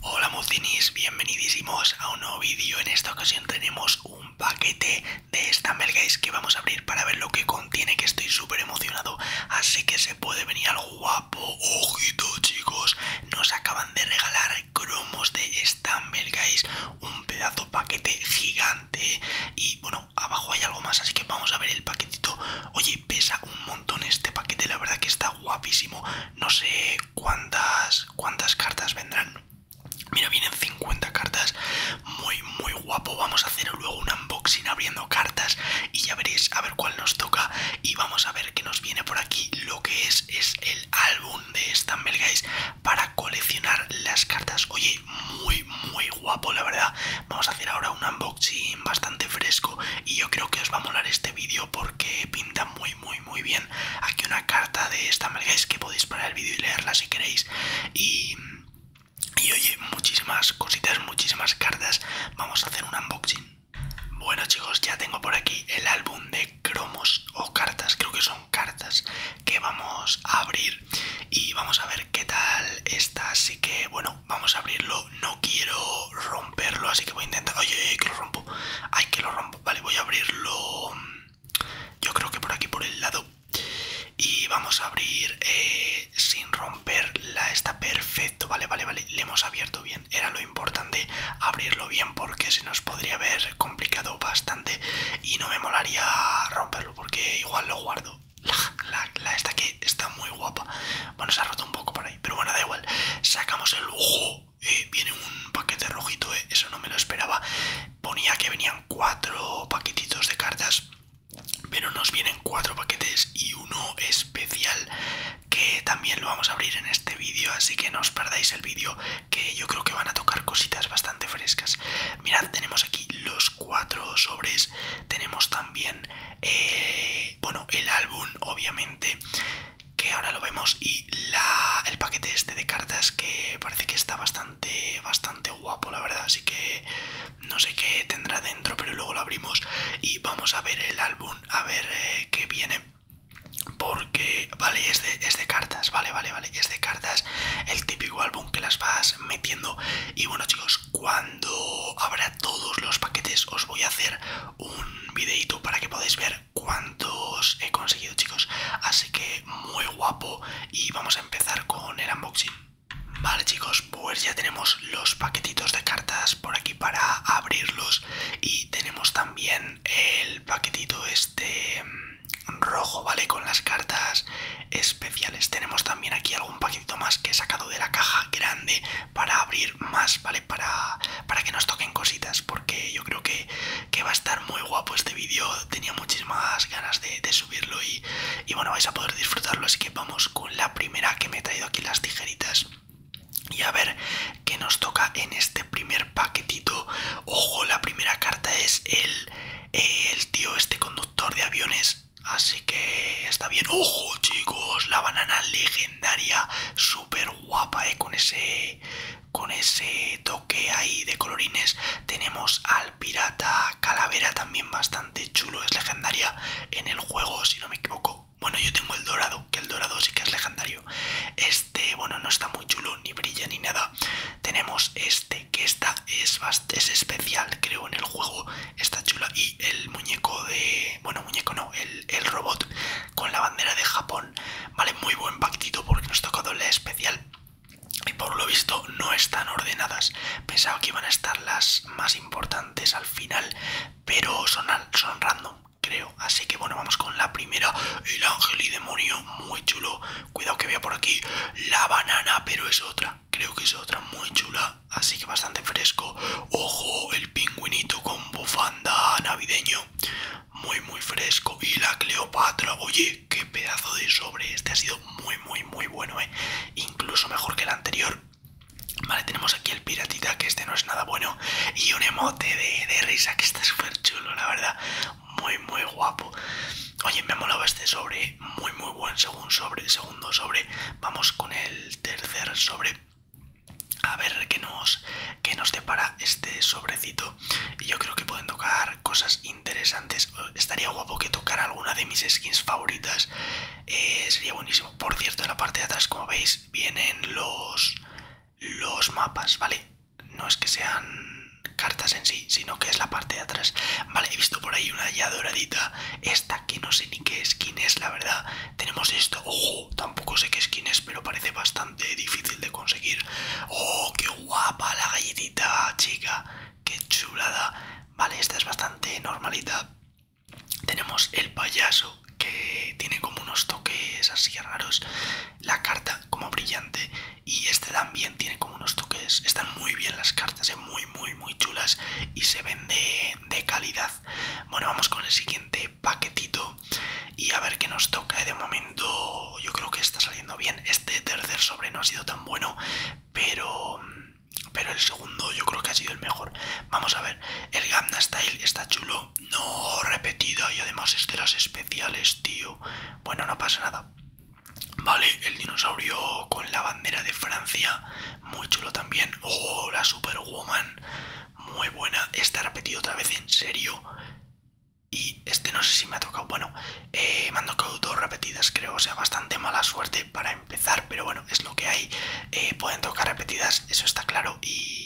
Hola muzinis, bienvenidísimos a un nuevo vídeo. En esta ocasión tenemos un paquete de Stumble Guys que vamos a abrir para ver lo que contiene, que estoy súper emocionado. Así que se puede venir al guapo. Ojito chicos, nos acaban de regalar cromos de Stumble Guys, un pedazo paquete gigante. Y bueno, abajo hay algo más, así que vamos a ver el paquetito. Oye, pesa un montón este paquete, la verdad que está guapísimo. No sé cuántas, cuántas cartas vendrán. Mira, vienen 50 cartas. Muy, muy guapo. Vamos a hacer luego un unboxing abriendo cartas y ya veréis a ver cuál nos toca. Y vamos a ver qué nos viene por aquí. Lo que es es el álbum de Stumble Guys para coleccionar las cartas. Oye, muy, muy guapo, la verdad. Vamos a hacer ahora un unboxing bastante fresco y yo creo que os va a molar este vídeo porque pinta muy muy muy bien aquí una carta de esta Es que podéis parar el vídeo y leerla si queréis y, y oye muchísimas cositas muchísimas cartas vamos a hacer un unboxing bueno chicos ya tengo por aquí el álbum de cromos o cartas creo que son cartas que vamos a abrir y vamos a ver qué tal está así que bueno vamos a abrirlo. No quiero romperlo, así que voy a intentar. Oye, ay! que lo rompo. Ay, que lo rompo. Vale, voy a abrirlo. Yo creo que por aquí, por el lado. Y vamos a abrir eh, sin sin romperla. Está perfecto. Vale, vale, vale. Le hemos abierto bien. Era lo importante abrirlo bien porque se nos podría haber complicado bastante. Y no me molaría romperlo porque igual lo guardo. La, esta que está muy guapa. Bueno, se ha roto un poco por pero bueno, da igual. Sacamos el ojo. Eh, viene un paquete rojito, eh, eso no me lo esperaba. Ponía que venían cuatro paquetitos de cartas. Pero nos vienen cuatro paquetes y uno especial que también lo vamos a abrir en este vídeo, así que no os perdáis el vídeo que yo creo que van a tocar cositas bastante frescas. Mirad, tenemos aquí los cuatro sobres, tenemos también eh, bueno, el álbum, obviamente, que ahora lo vemos, y el paquete este de cartas que parece que está bastante, bastante guapo, la verdad. Así que no sé qué tendrá dentro, pero luego lo abrimos y vamos a ver el álbum, a ver eh, qué viene. Porque, vale, es de cartas, vale, vale, vale, es de cartas, el típico álbum que las vas metiendo. Y bueno, chicos, cuando abra todos los paquetes. Os voy a hacer un videito para que podáis ver cuántos he conseguido, chicos. Así que muy guapo y vamos a empezar con el unboxing. Vale chicos, pues ya tenemos los paquetitos de cartas por aquí para abrirlos y tenemos también el paquetito este mm, rojo, ¿vale? Con las cartas especiales. Tenemos también aquí algún paquetito más que he sacado de la caja grande para abrir más, ¿vale? Para, para que nos toquen cositas, porque yo creo que, que va a estar muy guapo este vídeo. Tenía muchísimas ganas de, subirlo y, y bueno, vais a poder disfrutarlo. Así que vamos con la primera que me he traído aquí las tijeritas. Y a ver qué nos toca en este primer paquetito. Ojo, la primera carta es el, el tío, este conductor de aviones Así que está bien. ¡Ojo, chicos! La banana legendaria, súper guapa, ¿eh? Con ese, con ese toque ahí de colorines. Tenemos al pirata calavera, también bastante chulo. Es legendaria en el juego, si no me equivoco. Bueno, yo tengo el dorado, que el dorado sí que es legendario. Este, bueno, no está muy chulo, ni brilla ni nada. Tenemos este que esta es, es especial, creo, en el juego, está chula. Y el muñeco de... bueno, muñeco no, el, robot con la bandera de Japón, vale, muy buen pactito porque nos tocado la especial. Y por lo visto no están ordenadas. Pensaba que iban a estar las más importantes al final, pero son, son random, creo. Así que bueno, vamos con la primera. El ángel y demonio, muy chulo. Cuidado que vea por aquí la banana, pero es otra creo que es otra muy chula, así que bastante fresco. Ojo, el pingüinito con bufanda navideño, muy muy fresco. Y la Cleopatra, oye, qué pedazo de sobre, este ha sido muy muy muy bueno, eh. Incluso mejor que el anterior. Vale, tenemos aquí el piratita, que este no es nada bueno. Y un emote de, de risa, que está súper chulo, la verdad. Muy, muy guapo. Oye, me ha molado este sobre, muy muy buen segundo sobre, segundo sobre. Vamos con el tercer sobre. A ver qué nos, qué nos depara este sobrecito. Y yo creo que pueden tocar cosas interesantes. Estaría guapo que tocar alguna de mis skins favoritas. Eh, sería buenísimo. Por cierto, en la parte de atrás, como veis, vienen los, los mapas, ¿vale? No es que sean cartas en sí, sino que es la parte de atrás. Vale, he visto por ahí una ya doradita. Esta que no sé ni qué skin es, la verdad. Tenemos esto. Ojo, tampoco sé qué skin es, pero parece bastante difícil de conseguir. Oh, qué guapa la galletita, chica. Qué chulada. Vale, esta es bastante normalita. Tenemos el payaso que tiene como unos toques así raros. La carta como brillante y este también tiene como unos toques están muy bien las cartas eh, muy muy muy chulas y se ven de, calidad bueno vamos con el siguiente paquetito y a ver qué nos toca eh. de momento yo creo que está saliendo bien este tercer sobre no ha sido tan bueno pero pero el segundo yo creo que ha sido el mejor vamos a ver el Gamma Style está chulo no repetido y además es especiales tío bueno no pasa nada Vale, el dinosaurio con la bandera de Francia, muy chulo también. Oh, la Superwoman, muy buena. esta repetido otra vez, en serio. Y este no sé si me ha tocado. Bueno, eh, me han tocado dos repetidas, creo. O sea, bastante mala suerte para empezar, pero bueno, es lo que hay. Eh, pueden tocar repetidas, eso está claro. y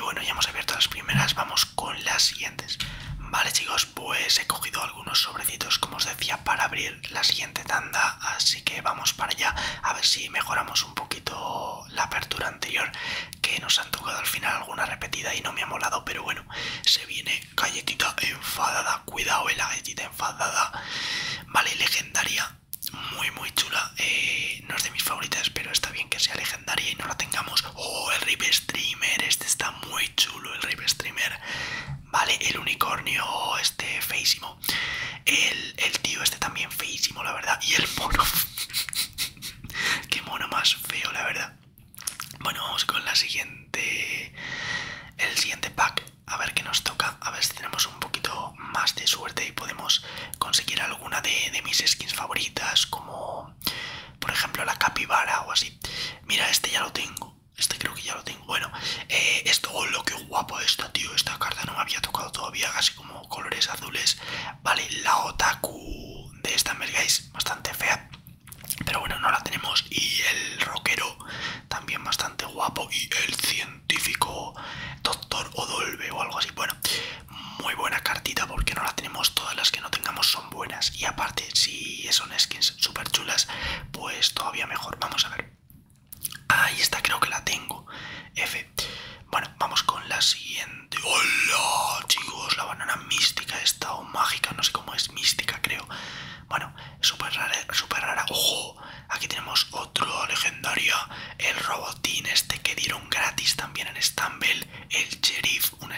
bueno, ya hemos abierto las primeras. Vamos con las siguientes. Vale, chicos, pues he cogido algunos sobrecitos, como os decía, para abrir la siguiente tanda. Así que vamos para allá a ver si mejoramos un poquito la apertura anterior, que nos han tocado al final alguna repetida y no me ha molado. Pero bueno, se viene galletita enfadada. Cuidado, eh, la galletita enfadada. Vale, legendaria. Muy, muy chula. Eh, no es de mis favoritas, pero está bien que sea legendaria y no la tengamos. Oh, el Rip Streamer. Este está muy chulo el rape Streamer, ¿vale? El unicornio este feísimo. El, tío este también feísimo, la verdad. Y el mono. Qué mono más feo, la verdad. Bueno, vamos con la siguiente. El siguiente pack. A ver qué nos toca. A ver si tenemos un poquito más de suerte y podemos conseguir alguna de, de mis skins favoritas. Como por ejemplo, la capibara o así. Mira, este ya lo tengo. Este creo que ya lo tengo. Bueno, eh, esto, oh, lo que guapo esto tío. Esta carta no me había tocado todavía, casi como colores azules. Vale, la otaku de esta me bastante fea. Pero bueno, no la tenemos. Y el rockero, también bastante guapo. Y el científico, doctor Odolbe o algo así. Bueno, muy buena cartita porque no la tenemos. Todas las que no tengamos sobre buenas y aparte si son skins super chulas pues todavía mejor vamos a ver ahí está creo que la tengo F bueno vamos con la siguiente hola chicos la banana mística esta o mágica no sé cómo es mística creo bueno super rara super rara ojo aquí tenemos otro legendario el robotín este que dieron gratis también en Stumble el sheriff un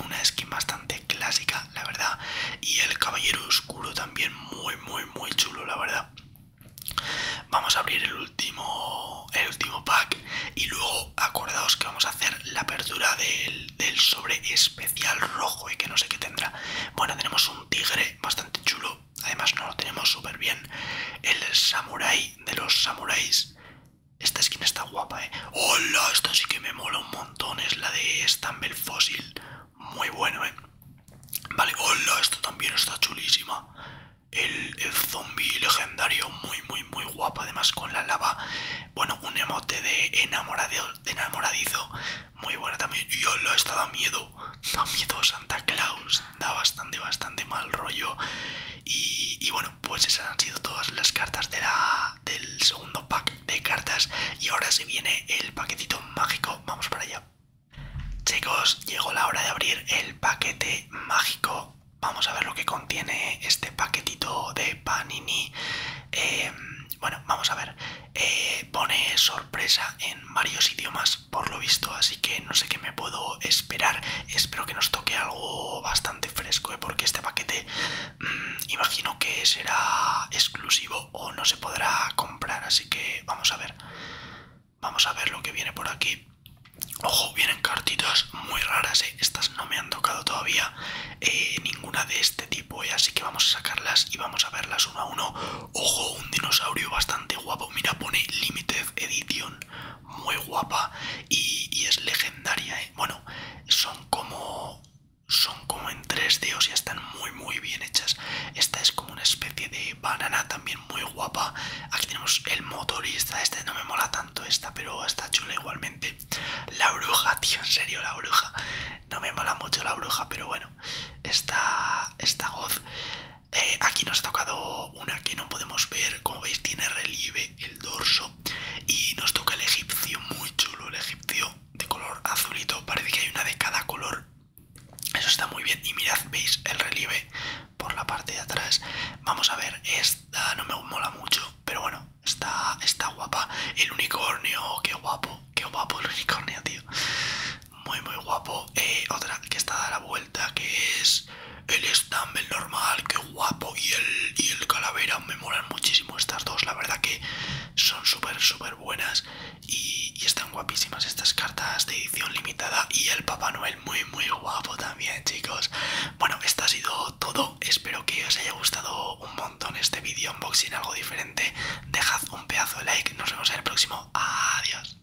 una skin bastante clásica, la verdad. Y el caballero oscuro también muy, muy, muy chulo, la verdad. Vamos a abrir el último, el último pack y luego acordaos que vamos a hacer la apertura del, del sobre especial rojo y que no sé qué tendrá. Bueno, tenemos un tigre bastante chulo, además no lo tenemos súper bien. El samurai de los samuráis esta skin está guapa, ¿eh? ¡Hola! Esta sí que me mola un montón. Es la de Stumble Fósil Muy bueno, ¿eh? Vale, hola, esto también está chulísima. El, zombie legendario, muy, muy, muy guapa. Además, con la lava. Bueno, un emote de, enamorado, enamoradizo. Muy buena también. Y hola, esta da miedo. Da miedo Santa Claus. Da bastante, bastante mal rollo. Y, y bueno, pues esas han sido todas las cartas de la, del segundo pack de cartas. Y ahora se viene el paquetito mágico. Vamos para allá. Chicos, llegó la hora de abrir el paquete mágico. Vamos a ver lo que contiene este paquetito de Panini. Em, bueno, vamos a ver. Eh, pone sorpresa en varios idiomas, por lo visto, así que no sé qué me puedo esperar. Espero que nos que algo bastante fresco, ¿eh? porque este paquete mm, imagino que será exclusivo o no se podrá comprar. Así que vamos a ver. Vamos a ver lo que viene por aquí. Ojo, vienen cartitas muy raras, ¿eh? estas no me han tocado todavía eh, ninguna de este tipo, así que vamos a sacarlas y vamos a verlas uno a uno. Ojo, un dinosaurio bastante guapo, mira, pone Limited Edition muy guapa y, es legendaria. ¿eh? Bueno, son como son como en tres d y están muy muy bien hechas. Esta es como una especie de banana también muy guapa. Aquí tenemos el motorista, este no me mola tanto esta, pero está chula igualmente. La bruja, tío, en serio, la bruja. No me mola mucho la bruja, pero bueno, esta voz. goz. Eh, aquí nos ha tocado una que no podemos ver, como veis tiene relieve el dorso y nos toca el egipcio, muy chulo el egipcio de color azulito, parece que hay una de cada color, eso está muy bien y mirad, veis el relieve por la parte de atrás, vamos a ver, esta no me mola mucho, pero bueno, está, está guapa, el unicornio, qué guapo, qué guapo el unicornio tío, muy muy guapo eh, otra que está a la vuelta que es el Stumble normal, que guapo, y el, y el calavera. Me molan muchísimo estas dos, la verdad que son súper, súper buenas y, y están guapísimas estas cartas de edición limitada. Y el Papá Noel, muy, muy guapo también, chicos. Bueno, esto ha sido todo. Espero que os haya gustado un montón este vídeo unboxing, algo diferente. Dejad un pedazo de like, nos vemos en el próximo. Adiós.